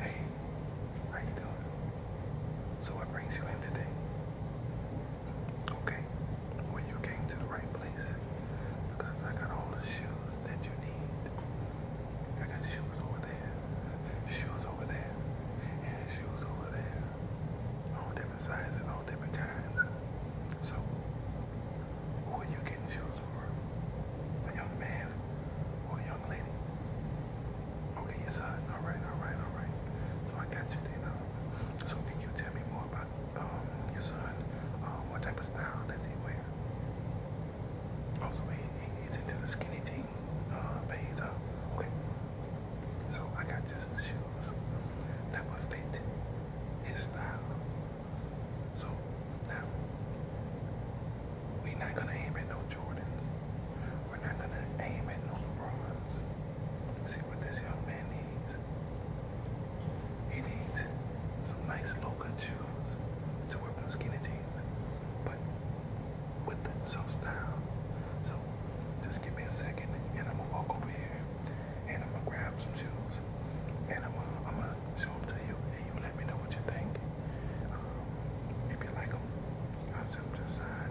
Hey, how you doing? So what brings you in today? Okay, well you came to the right place because I got all the shoes that you need. I got shoes over there, shoes over there, and shoes over there. All different sizes, all different kinds. So who are you getting shoes for? A young man or a young lady? Okay, yes, sir. All right, all right, all right. So I got you then. Uh, so can you tell me more about um, your son? Uh, what type of style does he wear? Also, oh, he, he's into the skinny jean uh, phase. Uh, okay. So I got just the shoes that would fit his style. So now we're not gonna aim at no Jordans. We're not gonna aim at no LeBrons. See what this young man needs. He needs some nice local cut shoes to wear with no skinny jeans, but with some style. So just give me a second, and I'm gonna walk over here and I'm gonna grab some shoes and I'm gonna, show them to you and you let me know what you think. Um, if you like them, I'll send them to side.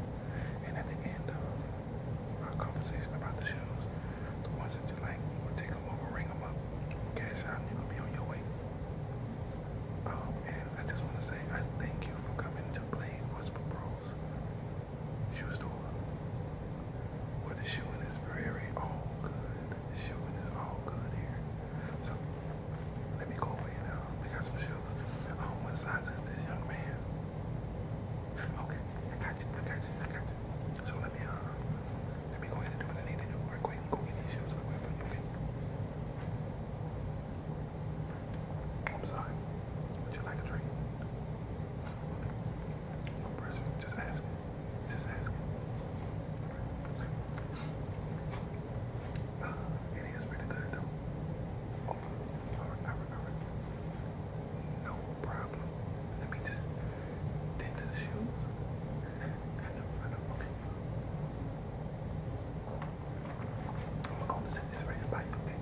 And at the end of our conversation about the shoes, the ones that you like, we'll take them over, ring them up, cash out, and you can be on your way. Um, and I just want to say I thank you for coming to Blade Whisper Bros shoe store. But the shooting is very all good. The shooting is all good here. So let me go away now. pick out some shoes. Oh, what size is this young man? Okay, I got you, I got you, I got you. So let me uh let me go ahead and do what I need to do real quick. Go get these shoes real quick okay? I'm sorry. Would you like a drink? No pressure. Just ask just asking. Uh, it is pretty good though. Oh, alright, No problem. Let me just tend to the shoes. I know, I know, I'm gonna send this right by you,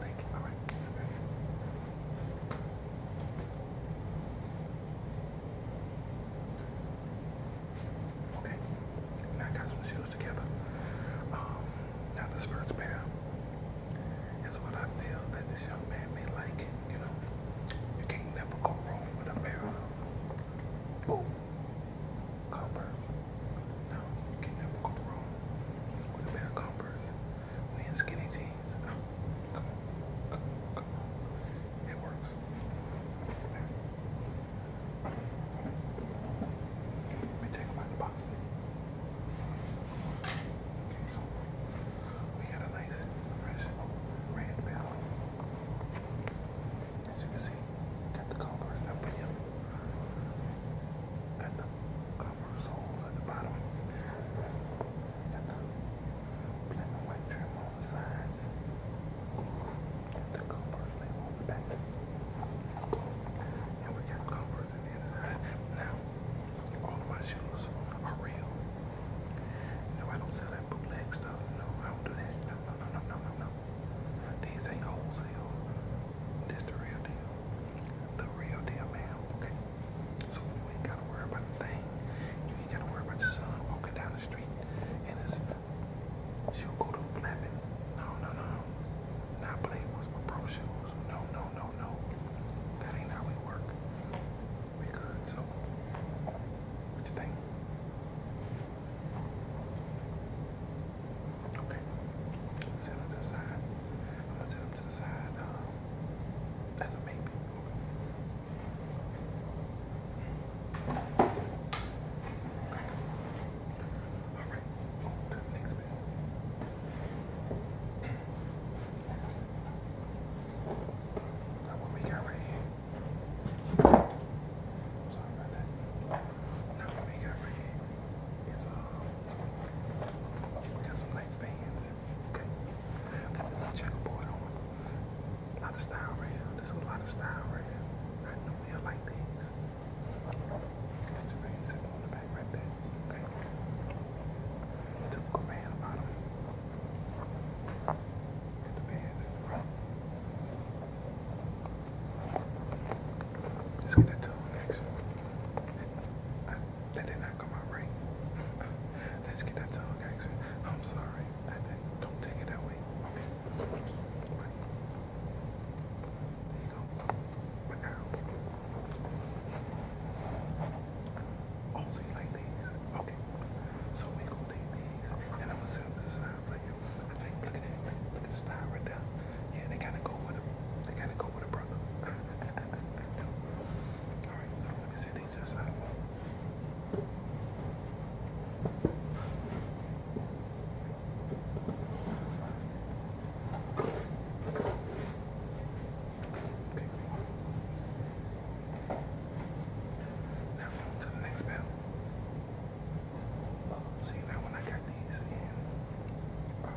Thank you, alright. Okay, now I got some shoes together. Um, now this first pair is what I feel that this young man may like. You know, you can't never go wrong with a pair of boom Converse. No, you can never go wrong with a pair of Converse. We in skinny jeans. It works. Let me take out of the box. Okay, so we got a nice fresh red bell. As you can see, got the converse up in him. Got the copper soles at the bottom. Got the black trim on the sides. The covers label on the back. And we got covers in the inside. Now, all of my shoes are real. No, I don't sell that bootleg stuff. No, I don't do that. No, no, no, no, no, no, no. These ain't wholesale. This the real deal. The real deal, ma'am. Okay. So you ain't gotta worry about the thing. You ain't gotta worry about your son walking down the street and it's she'll go to flapping. No, no, no. Not play with pro shoes. No, no, no, no. That ain't how we work. We good, so what you think? Okay. Sit on this side. I'm going um, that's um, a maybe. Alright, next bit. what we got right here. Sorry about that. Now what we got right here is um we got some nice bands. Put the checkerboard on. A lot of style right here. There's a lot of style right here. I know you like these. It's a very simple on the back right there. Okay. Typical van bottom. Get front. Let's get into action. That did not come out right. Let's get that tongue action. I'm sorry. don't take it that way. Okay. Right. you go. But now. Oh, you like these? Okay. So we gonna these and I'm gonna set this side for you. look at it. Look at the right there. Yeah, they kinda go with a they kinda go with a brother. Alright, let me see these just out. Now to the next bell. See now when I got these in uh,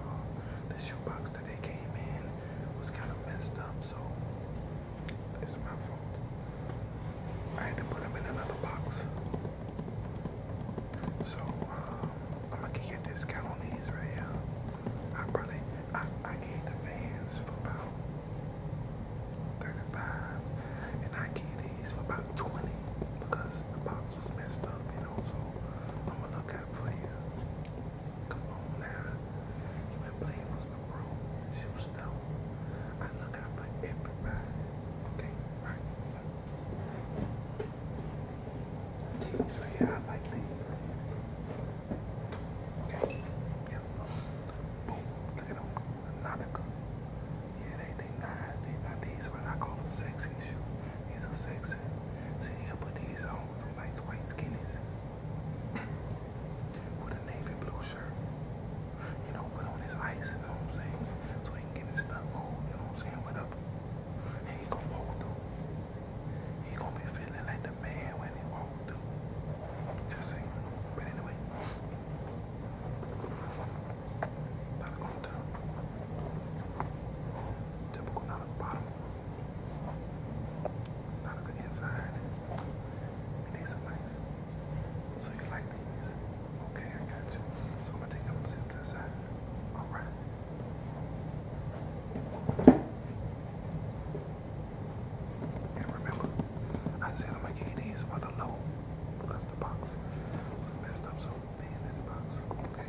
the shoebox they came in was kind of messed up, so it's my fault. I had to put them in another box. So um, I'm gonna get a discount on these right here. I probably I I gave the fans for about 35 and I gave these for about 20 because the box was messed up, you know, so I'm gonna look out for you. Come on now. You been playing for some room. Shoot stone. I look out for everybody. Okay, right. These right here, I like these. Okay. Yeah. Boom. Look at them. Nautica. Yeah, they they nice. They not these what I call them sexy shoes. These are sexy. See, so put these on with some nice white skinnies with a navy blue shirt. You know, put on his ice, you know what I'm saying? So he can get his stuff moved, you know what I'm saying, with up. And he gonna walk through. He gonna be feeling like the man when he walk through. Just saying. But anyway. Not going to typical not a bottom. Not a good inside. These are nice. So you like these? Okay, I got you. So I'm gonna take them and sit to the side. All right. And remember, I said I'm gonna give you these for the low because the box was messed up. So they in this box, okay?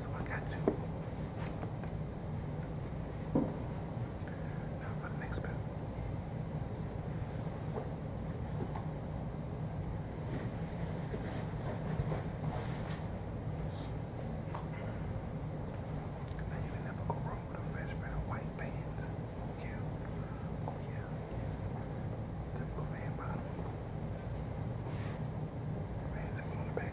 So I got you. Now for the next bit. Now you can never go with a fresh pair of white pants. Oh yeah. Oh yeah. Typical bottom. Fancy on the back.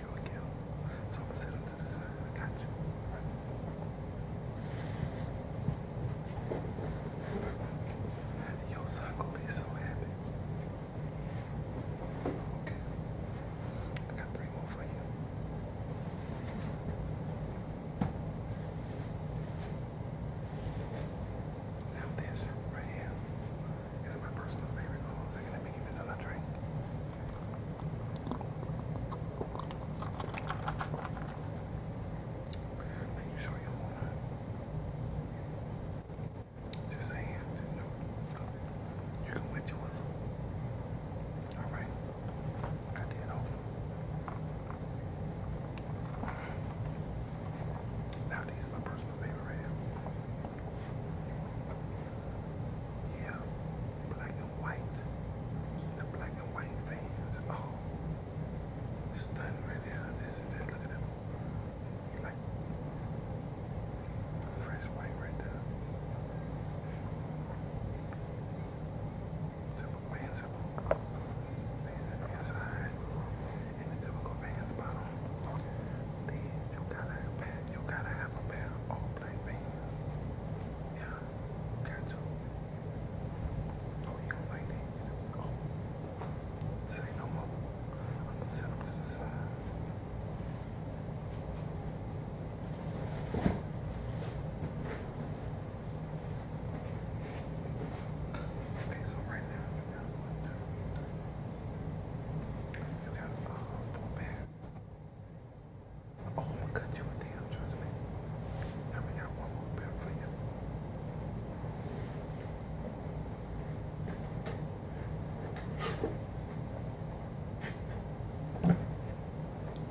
So I'm gonna sit him to the side. I got you. Your son gonna be so happy. Okay. I got three more for you. Now this right here is my personal favorite. Hold on a second, let me give this another drink. Make you sure you want to. Just saying, just You can wet your whistle. Alright. I did Now these are my personal favorite yeah, black and white. The black and white fans. Oh, stunning right there. This is just look at them. Like fresh white right there. Typical bands up, bands inside, and the typical bands bottom. These you gotta have You gotta have a pair all black pants. Yeah, got to. Oh, you don't like these? Oh, say no more. I'm gonna set them to the side. Okay, so right now you got one, two, three. You got uh, Oh, my god, gonna you a damn. trust me. Now we got one more bill for you.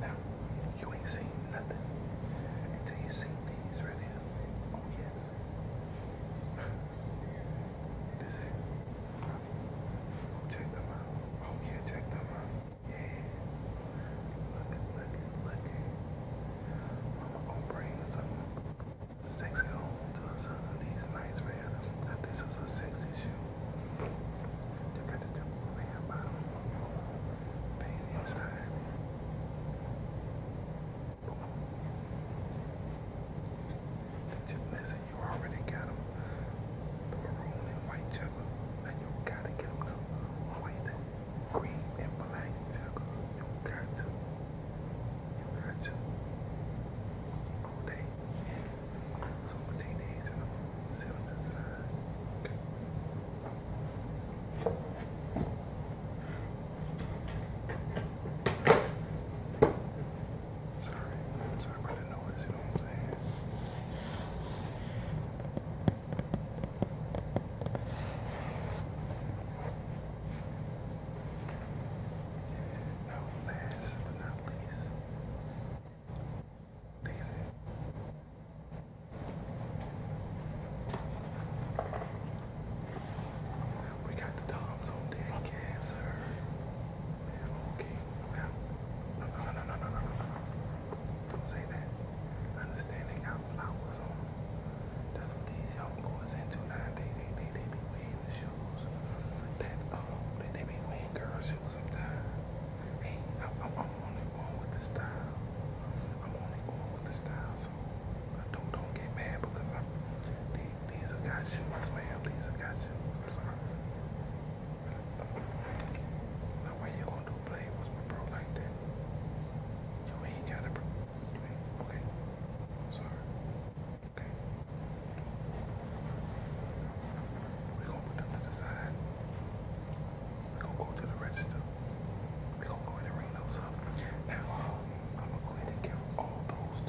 Now, you ain't seen nothing until you see these right here. Oh yes. This it? Check them out. Oh check them out. Yeah. Look it, look it, look gonna bring something sexy home to some of these nights, man. Now this is a sexy shoe. You got the typical man bottom. Pain inside. Boom. The you already got them. maroon and white checker. And you gotta get them white, green, and black checkers. You got to. You got to. All day. Yes. So I'm gonna take these and the side. Sorry, I'm sorry about the noise, you know what I'm saying? Now, last but not least, Daisy. We got Tom's on deck, cancer. Okay. Now, no, no, no, no, no, no, no, Don't say that. Understanding how flowers are. That's what these young boys into now. They, they, they, they be wearing the shoes that, um, they, they be wearing girl shoes sometimes. Hey, I'm, only going with the style. I'm only going with the style, so don't, don't get mad because I'm, these have got shoes, man. These got shoes. I'm sorry. The way you gonna do a play with my bro like that? You gotta. You Okay. sorry. Okay. we gonna put them to the side. we gonna go to the register. we gonna go ahead and ring those up. Now, um, I'm gonna go ahead and give all those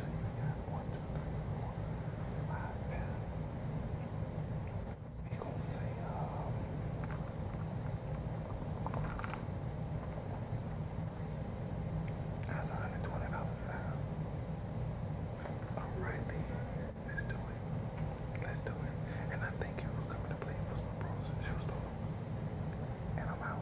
that's a hundred twenty dollars sound. Alright then, let's do it. Let's do it. And I thank you for coming to play with my bros and And I'm out.